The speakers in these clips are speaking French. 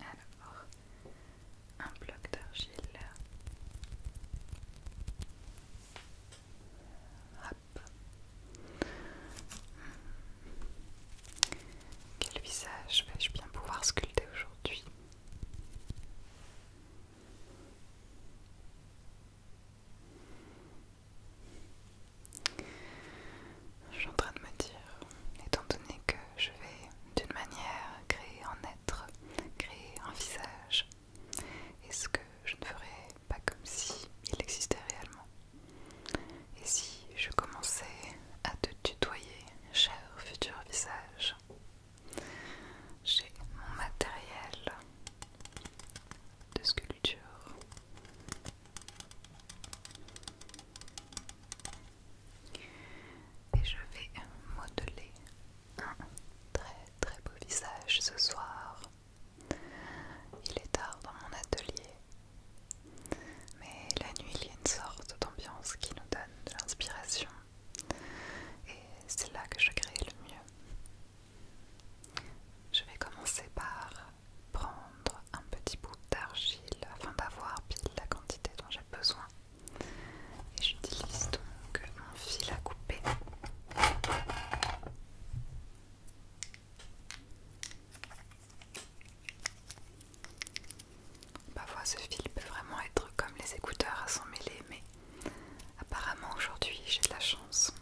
Alors, un bloc d'argile. Quel visage vais-je bien pouvoir sculpter aujourd'hui je suis en train de me dire, étant donné que je vais d'une manière créer un être, créer un visage, est-ce que je ne ferais pas comme si il existait réellement Et si je commençais à te tutoyer, cher futur visage j'ai mon matériel de sculpture. Et je vais modeler un très très beau visage ce soir. Il est tard dans mon atelier, mais la nuit il y a une sorte d'ambiance qui nous donne de l'inspiration. Et c'est là que je crée le mieux. Je vais commencer par prendre un petit bout d'argile afin d'avoir pile la quantité dont j'ai besoin. Et j'utilise donc un fil à couper. Parfois ce fil peut vraiment être comme les écouteurs à s'en mêler, mais apparemment aujourd'hui j'ai de la chance.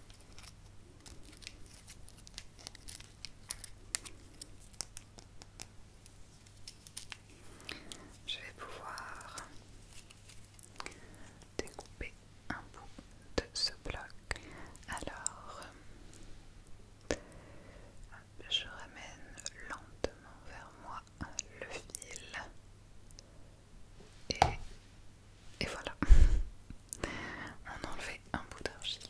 Je vais pouvoir découper un bout de ce bloc. Alors, je ramène lentement vers moi le fil et et voilà, on a enlevé un bout d'argile.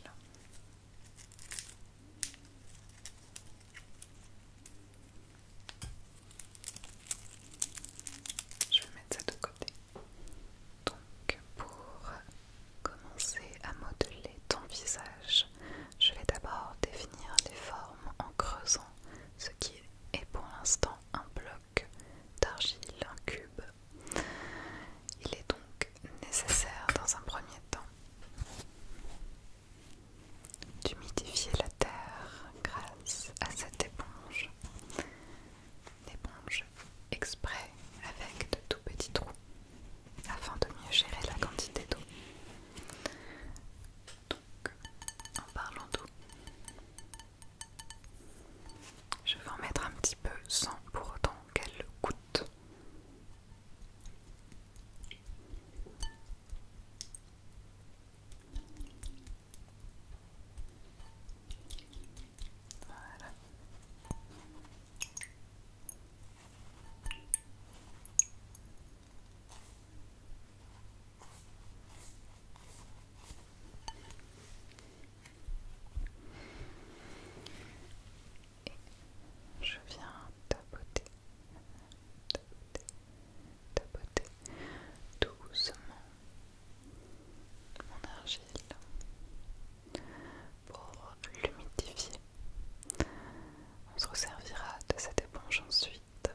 Je vais mettre ça de côté. Donc pour commencer à modeler ton visage, je vais d'abord définir les formes en creusant ce qui est pour l'instant un bloc d'argile, un cube il est donc nécessaire dans un premier temps d'humidifier la terre grâce à cette éponge. Une éponge exprès avec de tout petits trous afin de mieux gérer la quantité d'eau. Donc en parlant d'eau, je vais en mettre un petit peu sans pour autant qu'elle goûte. Et je viens tapoter, tapoter, tapoter doucement mon argile pour l'humidifier. On se resservira de cette éponge ensuite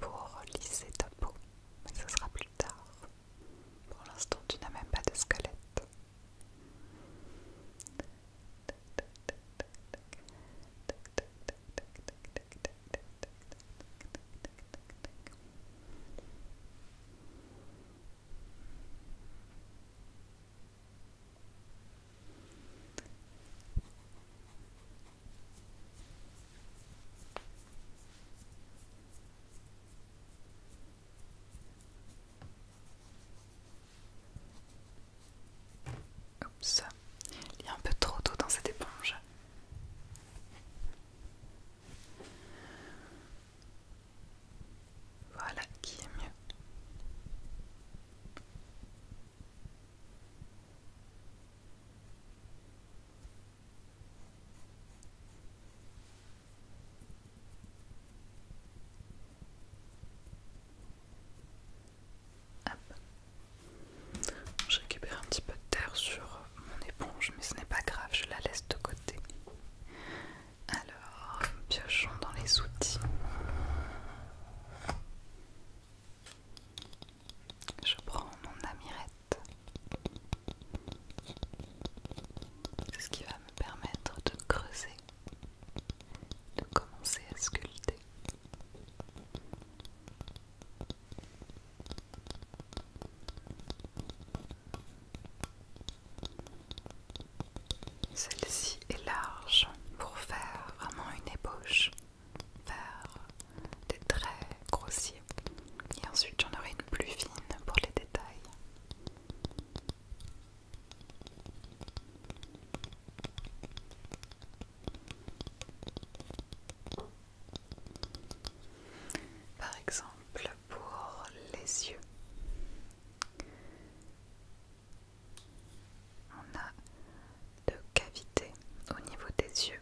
pour lisser ta peau, mais ce sera plus tard. Pour l'instant, tu n'as même pas de squelette ça il y a un peu trop d'eau dans cette éponge. Voilà qui est mieux. Hop. Je récupère un petit peu de terre sur mon éponge, mais ce n'est pas grave, je la laisse de côté. Alors, piochons dans les outils. Je prends mon amirette. C'est ce qui va me permettre de creuser, de commencer à sculpter. Celle-ci est large pour faire vraiment une ébauche des traits grossiers. Et ensuite j'en aurai une plus fine pour les détails. Par exemple pour les yeux, on a deux cavités au niveau des yeux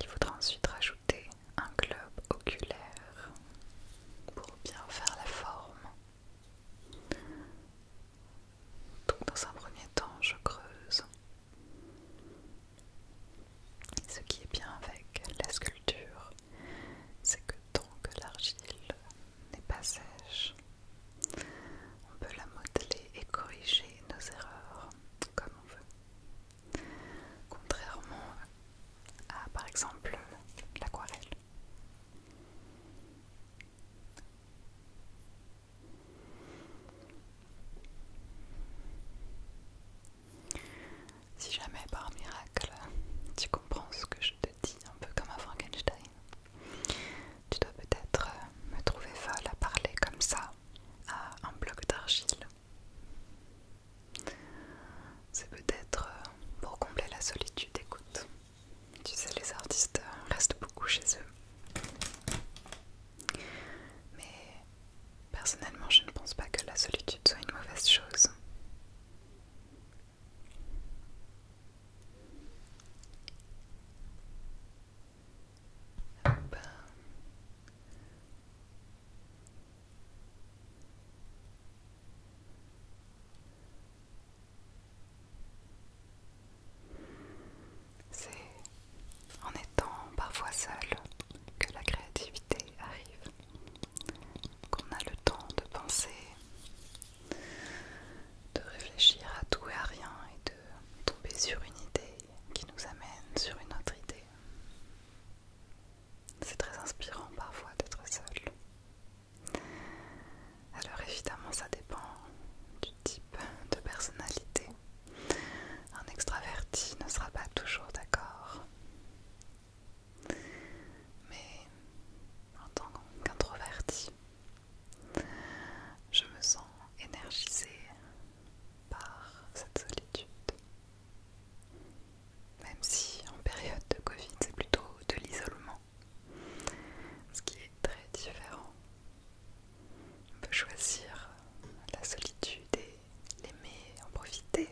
il faudra ensuite rajouter un globe oculaire pour bien faire la forme. Donc dans un premier temps, je creuse. Ce qui est bien avec la sculpture, c'est que tant que l'argile n'est pas sèche, on peut la modeler et corriger nos erreurs comme on veut contrairement à par exemple l'aquarelle. Si jamais par miracle tu comprends ce que je te dis, un peu comme à Frankenstein, tu dois peut-être me trouver folle à parler comme ça à un bloc d'argile c'est peut-être euh, pour combler la solitude, écoute. Tu sais, les artistes restent beaucoup chez eux. Mais personnellement, je ne pense pas que la solitude soit une mauvaise chose. Ben, c'est en étant parfois seul que la créativité arrive, qu'on a le temps de penser, de réfléchir à tout et à rien et de tomber sur une idée qui nous amène sur une autre idée. C'est très inspirant parfois d'être seul. Alors évidemment ça dépend du type de personnalité. Un extraverti ne sera pas toujours d'accord. Mais en tant qu'introverti, je me sens énergisée, par cette solitude. Même si en période de Covid, c'est plutôt de l'isolement, ce qui est très différent. On peut choisir la solitude et l'aimer, en profiter,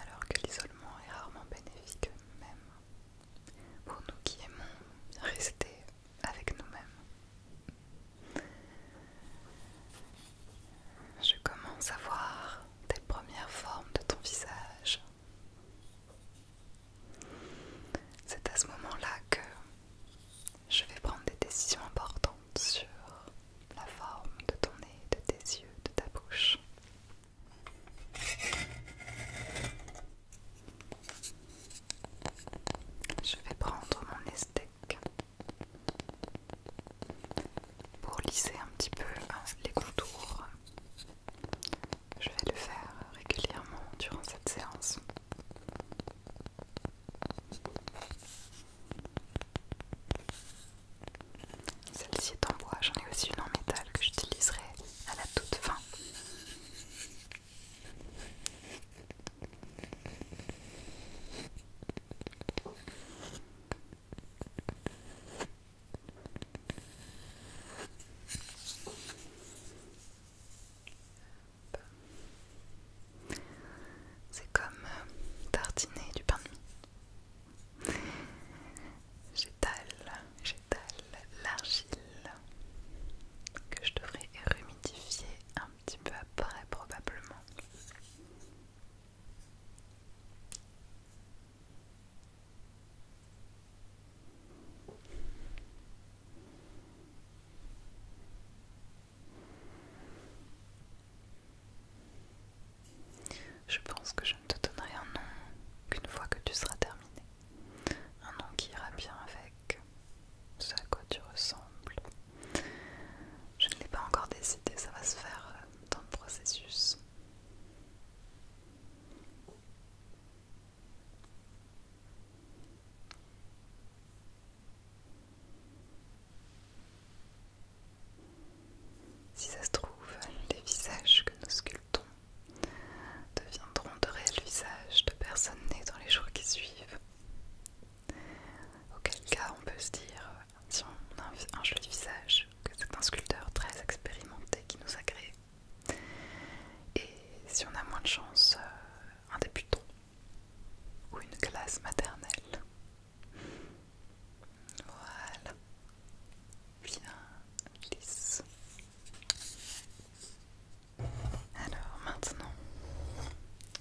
alors que l'isolement est rarement bénéfique même pour nous qui aimons rester avec nous-mêmes. Je commence à voir tes premières formes de ton visage. C'est à ce moment-là que je vais prendre des décisions importantes sur la forme de ton nez, de tes yeux, de ta bouche. Je vais prendre mon estec pour lisser un petit peu hein, les contours, je vais le faire régulièrement durant cette séance. Celle-ci est en bois, j'en ai aussi une en métal que j'utiliserai à la toute fin. C'est comme euh, tartiner du pain de mie. J'étale, j'étale l'argile que je devrais humidifier. un un petit peu après probablement. Je pense que je ne te donnerai un nom qu'une fois que tu seras terminé. Un nom qui ira bien avec ce à quoi tu ressembles, je ne l'ai pas encore décidé, ça va se faire euh, dans le processus. Si ça se trouve, les visages que nous sculptons deviendront de réels visages de personnes nées dans les jours qui suivent. Auquel cas on peut se dire, euh, si on a un, jeu joli visage, que c'est un sculpteur très expérimenté qui nous a Et si on a moins de chance, euh, un débutant ou une classe maternelle. Voilà. Bien lisse. Alors maintenant,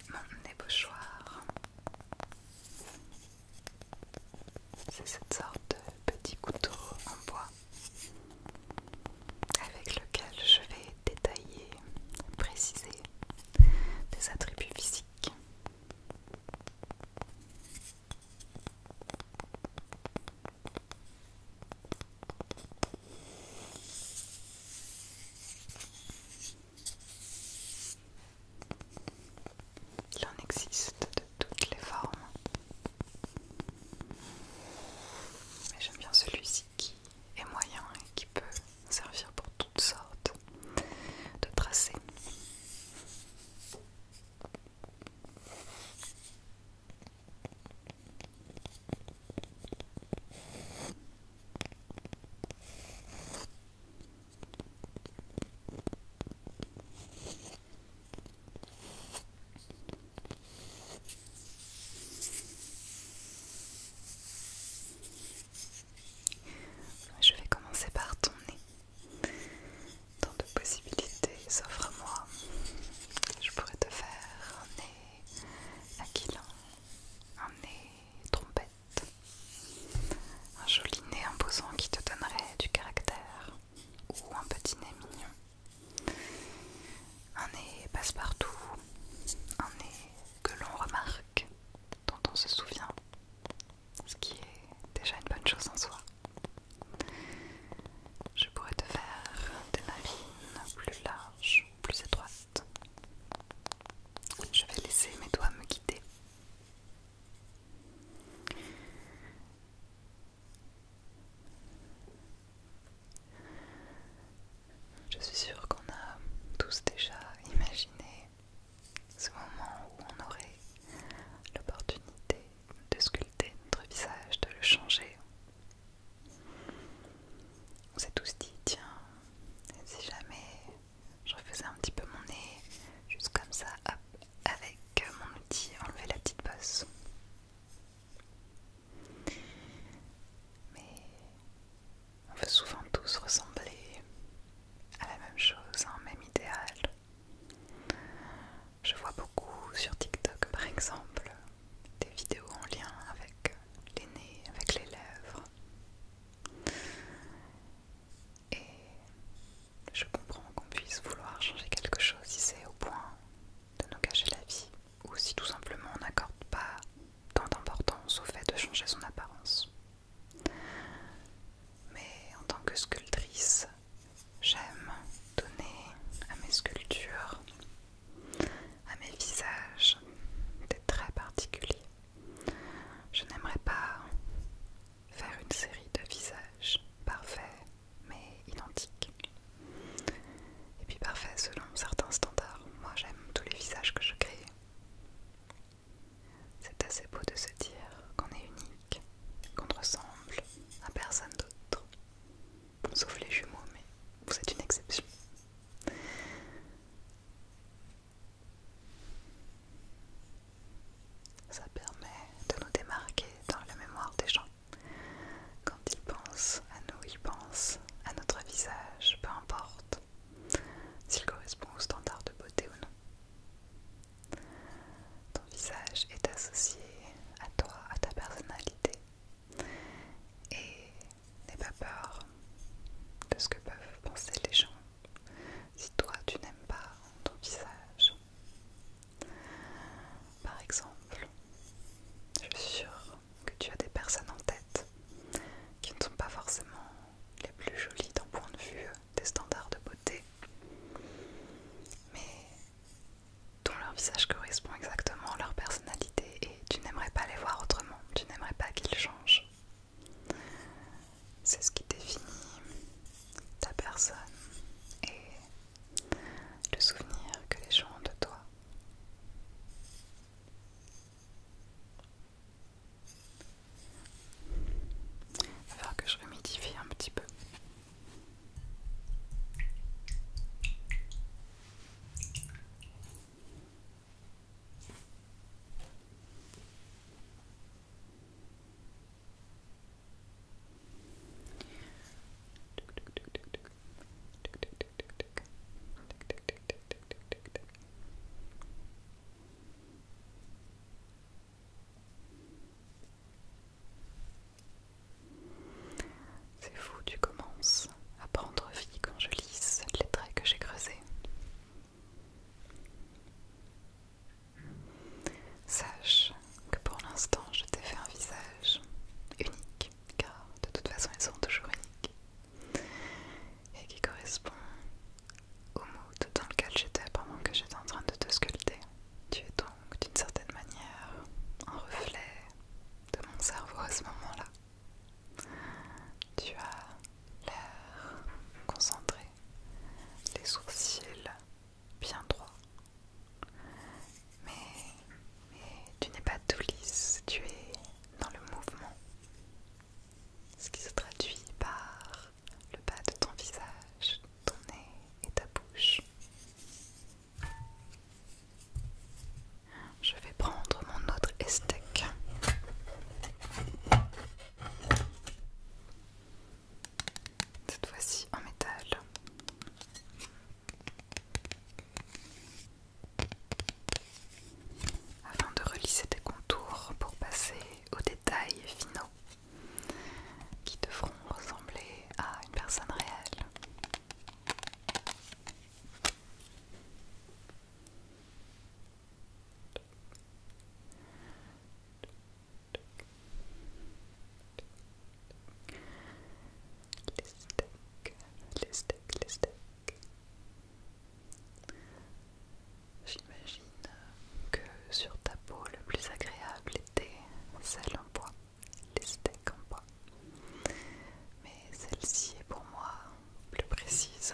mon ébauchoir. C'est cette sorte de petit couteau en bois avec lequel je vais détailler, préciser des attributs physiques. Il en existe de toutes les formes. Mais j'aime bien celui-ci qui est moyen et qui peut servir pour toutes sortes de tracés. Je vais commencer par ton nez. Tant de possibilités s'offrent à moi. Je pourrais te faire un nez aquilin, un nez trompette. Un joli nez imposant qui te donnerait du caractère ou un petit nez mignon. Un nez passe-partout, un nez que l'on remarque, dont on se souvient, ce qui est déjà une bonne chose en soi. Je pourrais te faire des narines plus larges, plus étroites. Je vais laisser mes doigts me quitter. Je suis sûre qu'on a tous déjà imaginé ce moment où on aurait l'opportunité de sculpter notre visage, de le changer. On s'est tous dit, tiens, si jamais je refaisais un petit peu mon nez, juste comme ça, avec mon outil, enlever la petite bosse. Mais on veut souvent tous ressembler à la même chose, un même idéal. Je vois beaucoup sur TikTok par exemple des vidéos en lien avec les nez, avec les lèvres. Et je comprends qu'on puisse vouloir changer quelque chose si c'est au point de nous cacher la vie ou si tout simplement on n'accorde pas tant d'importance au fait de changer son apparence. Mais en tant que sculptrice, j'aime donner à mes sculptures, à mes visages, des traits particuliers. Je n'aimerais pas faire une série de visages parfaits mais identiques. Et puis parfaits selon certains standards. Moi j'aime tous les visages que je crée. C'est assez beau de se dire qu'on est unique, qu'on ressemble à personne d'autre. Sauf les jumeaux, mais vous êtes une exception. Ça permet de nous démarquer dans la mémoire des gens. Quand ils pensent à nous, ils pensent à notre visage, peu importe s'il correspond au standard de beauté ou non. Ton visage est associé à toi, à ta personnalité. Et N'aie pas peur de ce que peuvent penser les gens si toi tu n'aimes pas ton visage. Par exemple, je suis sûre que tu as des personnes en tête qui ne sont pas forcément les plus jolies d'un point de vue des standards de beauté, mais dont leur visage correspond exactement à leur personnalité et tu n'aimerais pas les voir autrement, tu n'aimerais pas qu'ils changent. C'est ce qui définit ta personne et le souvenir que les gens ont de toi. que je humidifie un petit peu. C'est fou, tu commences à prendre vie quand je lis les traits que j'ai creusés. Sache que pour l'instant je t'ai fait un visage unique, car de toute façon ils sont toujours uniques, et qui correspond au mood dans lequel j'étais pendant que j'étais en train de te sculpter. Tu es donc d'une certaine manière un reflet de mon cerveau à ce moment-là. Tu as l'air concentré, les sourcils bien droits. Mais, tu n'es pas tout lisse, tu es dans le mouvement. Ce qui se traduit par le bas de ton visage, ton nez et ta bouche. Je vais prendre mon autre esthèque. Cette fois-ci en métal. Afin de relisser tes contours pour passer aux détails finaux qui devront ressembler à une personne réelle. Les steaks, les steaks, les steaks. J'imagine que sur ta peau, le plus agréable était celle en bois, les steaks en bois. Mais celle-ci est pour moi plus précise.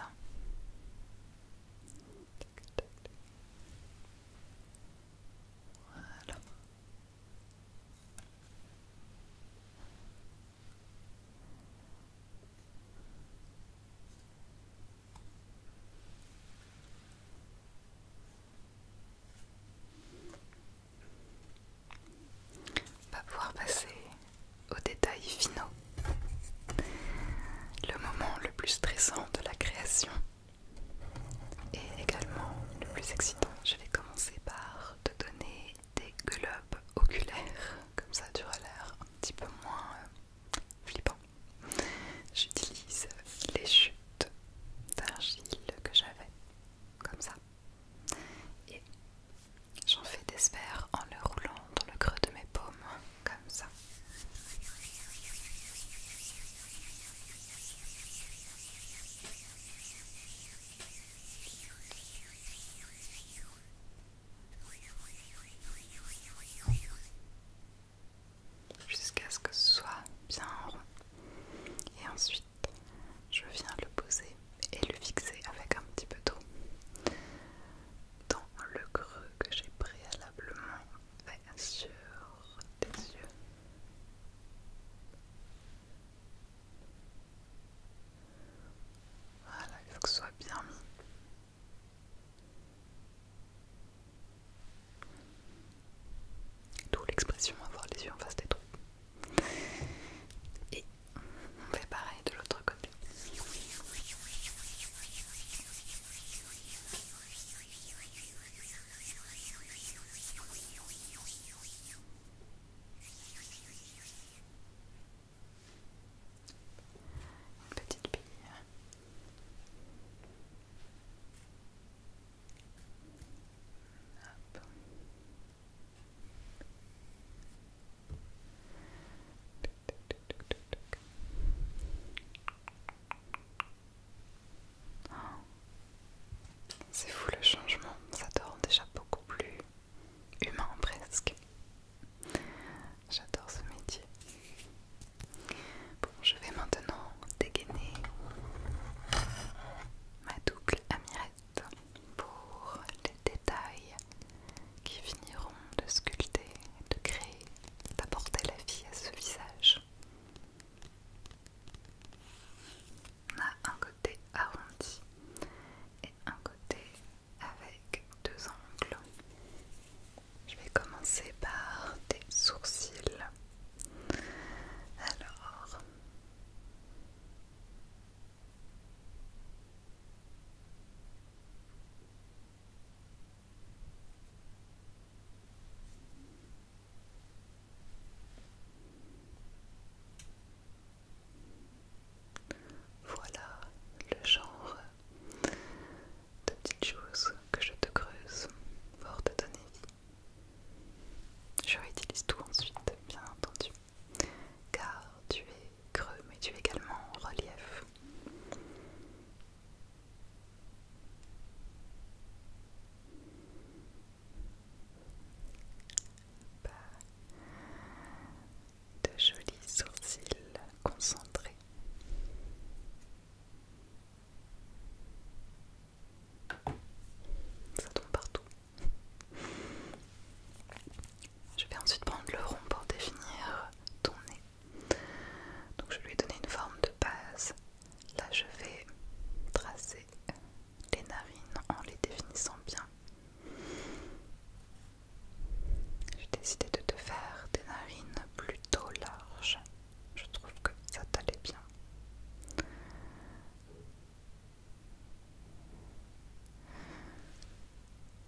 Pas pouvoir passer aux détails finaux. Le moment le plus stressant de la création et également le plus excitant. Je vais commencer par te donner des globes oculaires, comme ça tu auras l'air un petit peu moins euh, flippant. J'utilise les chutes d'argile que j'avais, comme ça. Et J'en fais des sphères en le roulant dans le creux de mes paumes, comme ça. Jusqu'à ce que ce soit bien rond. Et ensuite, je viens le poser et le fixer avec un petit peu d'eau dans le creux que j'ai préalablement fait sur tes yeux. Voilà, il faut que ce soit bien mis. D'où l'expression avoir les yeux en face des trous. Et on fait pareil de l'autre côté. Une petite bille. Hop. Oh. C'est fou le changement, ça te rend déjà beaucoup plus humain presque. J'adore ce métier. Bon, je vais maintenant dégainer ma double amirette pour les détails qui finiront de sculpter, de créer, d'apporter la vie à ce visage. On a un côté arrondi et un côté avec deux angles. Je vais commencer par des sourcils. Alors, voilà le genre de petites choses que je te creuse pour te donner vie. Je réutilise tout ensuite, bien entendu, car tu es creux, mais tu es également en relief. de jolis sourcils concentrés. Ça tombe partout. Je vais ensuite prendre le rond pour définir ton nez. Donc je lui ai donné une forme de base. Là je vais tracer les narines en les définissant bien. J'ai décidé de te faire des narines plutôt larges. Je trouve que ça t'allait bien.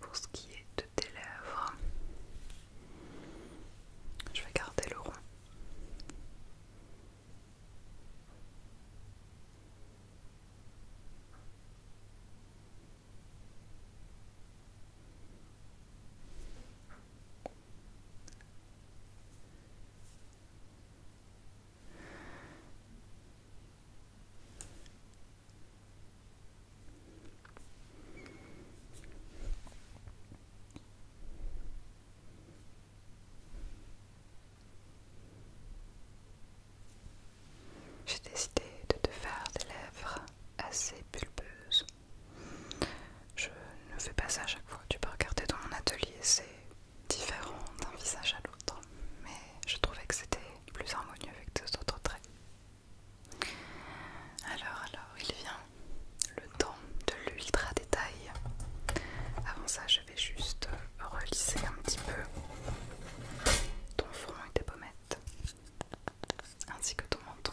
Pour ce qui est de tes lèvres, je vais garder le rond. J'ai décidé de te faire des lèvres assez pulpeuses. Je ne fais pas ça à chaque fois. Tu peux regarder dans mon atelier, c'est différent d'un visage à l'autre, mais je trouvais que c'était plus harmonieux avec deux autres traits. Alors, alors, il vient le temps de l'ultra détail. Avant ça, je vais juste relisser un petit peu ton front et tes pommettes, ainsi que ton menton.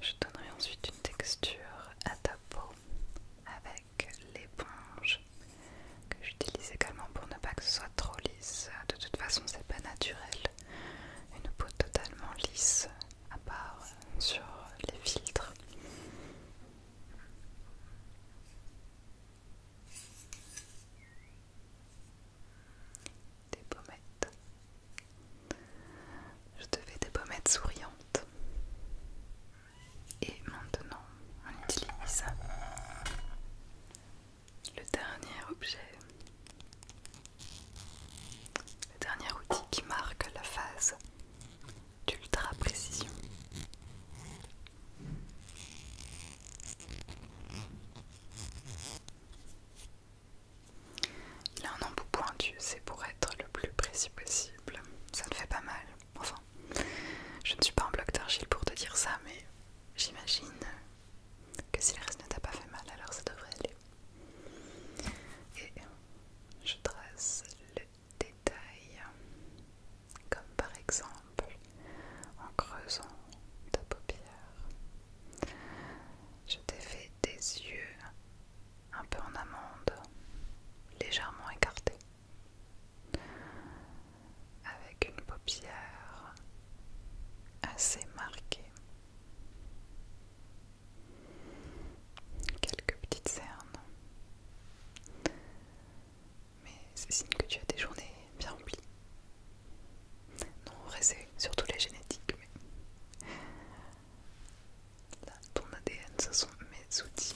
Je donnerai ensuite une texture à ta peau avec l'éponge que j'utilise également pour ne pas que ce soit trop lisse. De toute façon, c'est pas naturel. Une peau totalement lisse, à part sur les filtres. Des pommettes. Je te fais des pommettes souriantes. Et maintenant, on utilise le dernier objet. Le dernier outil qui marque la phase d'ultra précision. Il a un embout pointu, c'est pour être le plus précis possible. Ça ne fait pas mal. Enfin, je ne suis pas un bloc d'argile pour te dire ça, mais j'imagine que si le reste ne t'a pas fait mal, alors ça devrait aller. Et je trace le détail, comme par exemple en creusant ta paupière. Je t'ai fait des yeux un peu en amande, légèrement écartés, avec une paupière assez marquée. Quelques petites cernes. Mais c'est signe que tu as des journées bien remplies. Non, en vrai, c'est surtout la génétique, mais. ton ADN, ce sont mes outils.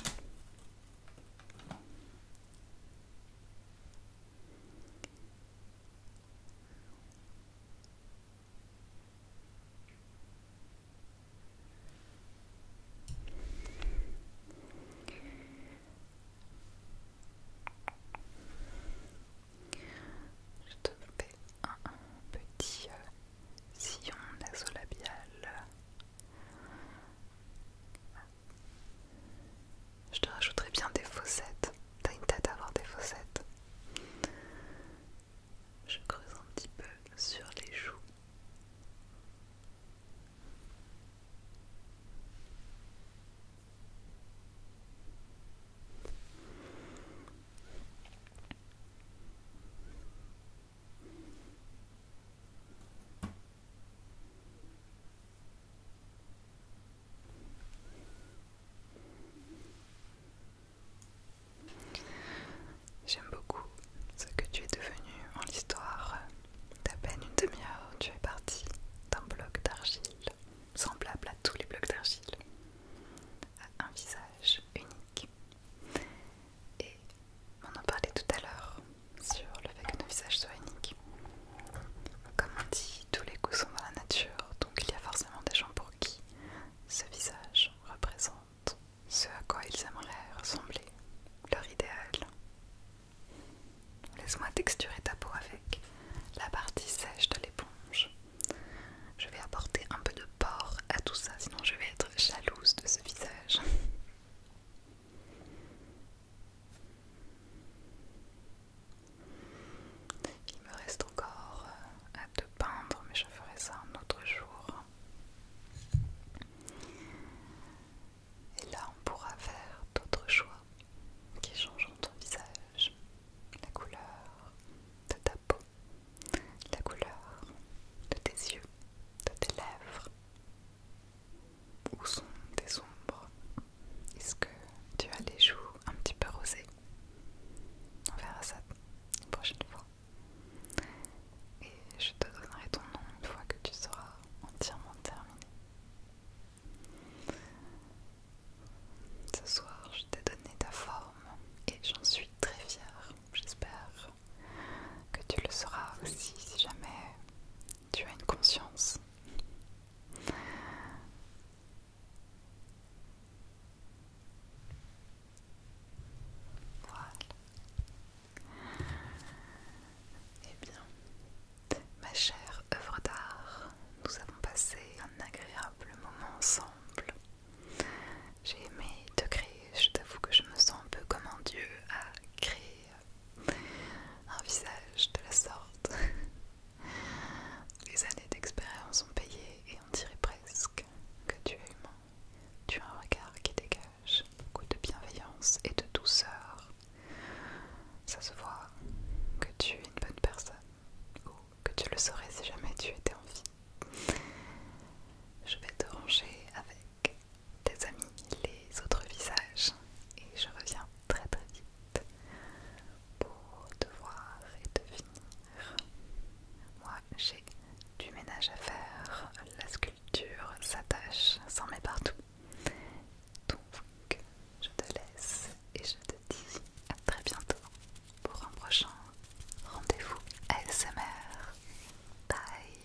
Je te fais un petit euh, sillon nasolabial. Je te rajouterai bien des fossettes. T'as une tête à avoir des fossettes. Je creuse un petit peu sur les joues. J'aime beaucoup ce que tu es devenu en l'histoire. D'à peine une demi-heure, tu es parti d'un bloc d'argile semblable à tous les blocs d'argile, à un visage unique. Et on en parlait tout à l'heure sur le fait que nos visages soient uniques. Comme on dit, tous les goûts sont dans la nature, donc il y a forcément des gens pour qui ce visage représente ce à quoi ils aimeraient ressembler, leur idéal, Laisse-moi texturer ta peau avec la partie sèche de l'éponge. Je vais apporter un peu de porc à tout ça, sinon je vais être jalouse de ce visage. Il me reste encore euh, à te peindre, mais je ferai ça un autre jour. Et là, on pourra faire d'autres choix qui changeront ton visage, la couleur de ta peau, la couleur de tes yeux, de tes lèvres. Où sont tes ombres Est-ce que tu as les joues un petit peu rosées On verra ça une prochaine fois. Et je te donnerai ton nom une fois que tu seras entièrement terminé. Ce soir, je t'ai donné ta forme et j'en suis très fière. J'espère que tu le seras aussi si jamais tu as une conscience. Voilà. Eh bien, Ma chère œuvre d'art, nous avons passé un agréable moment ensemble. J'ai aimé te créer, je t'avoue que je me sens un peu comme un dieu a créé un visage de la sorte. Les années d'expérience ont payé et on dirait presque que tu es humain. Tu as un regard qui dégage beaucoup de bienveillance et de douceur. Ça se voit que tu es une bonne personne, ou que tu le saurais si jamais tu étais en vie. Je vais te ranger avec tes amis, les autres visages, et je reviens très très vite pour te voir et te finir. Moi, j'ai du ménage à faire, la sculpture s'attache, s'en met partout. Donc, je te laisse et je te dis à très bientôt pour un prochain rendez-vous SMR. Bye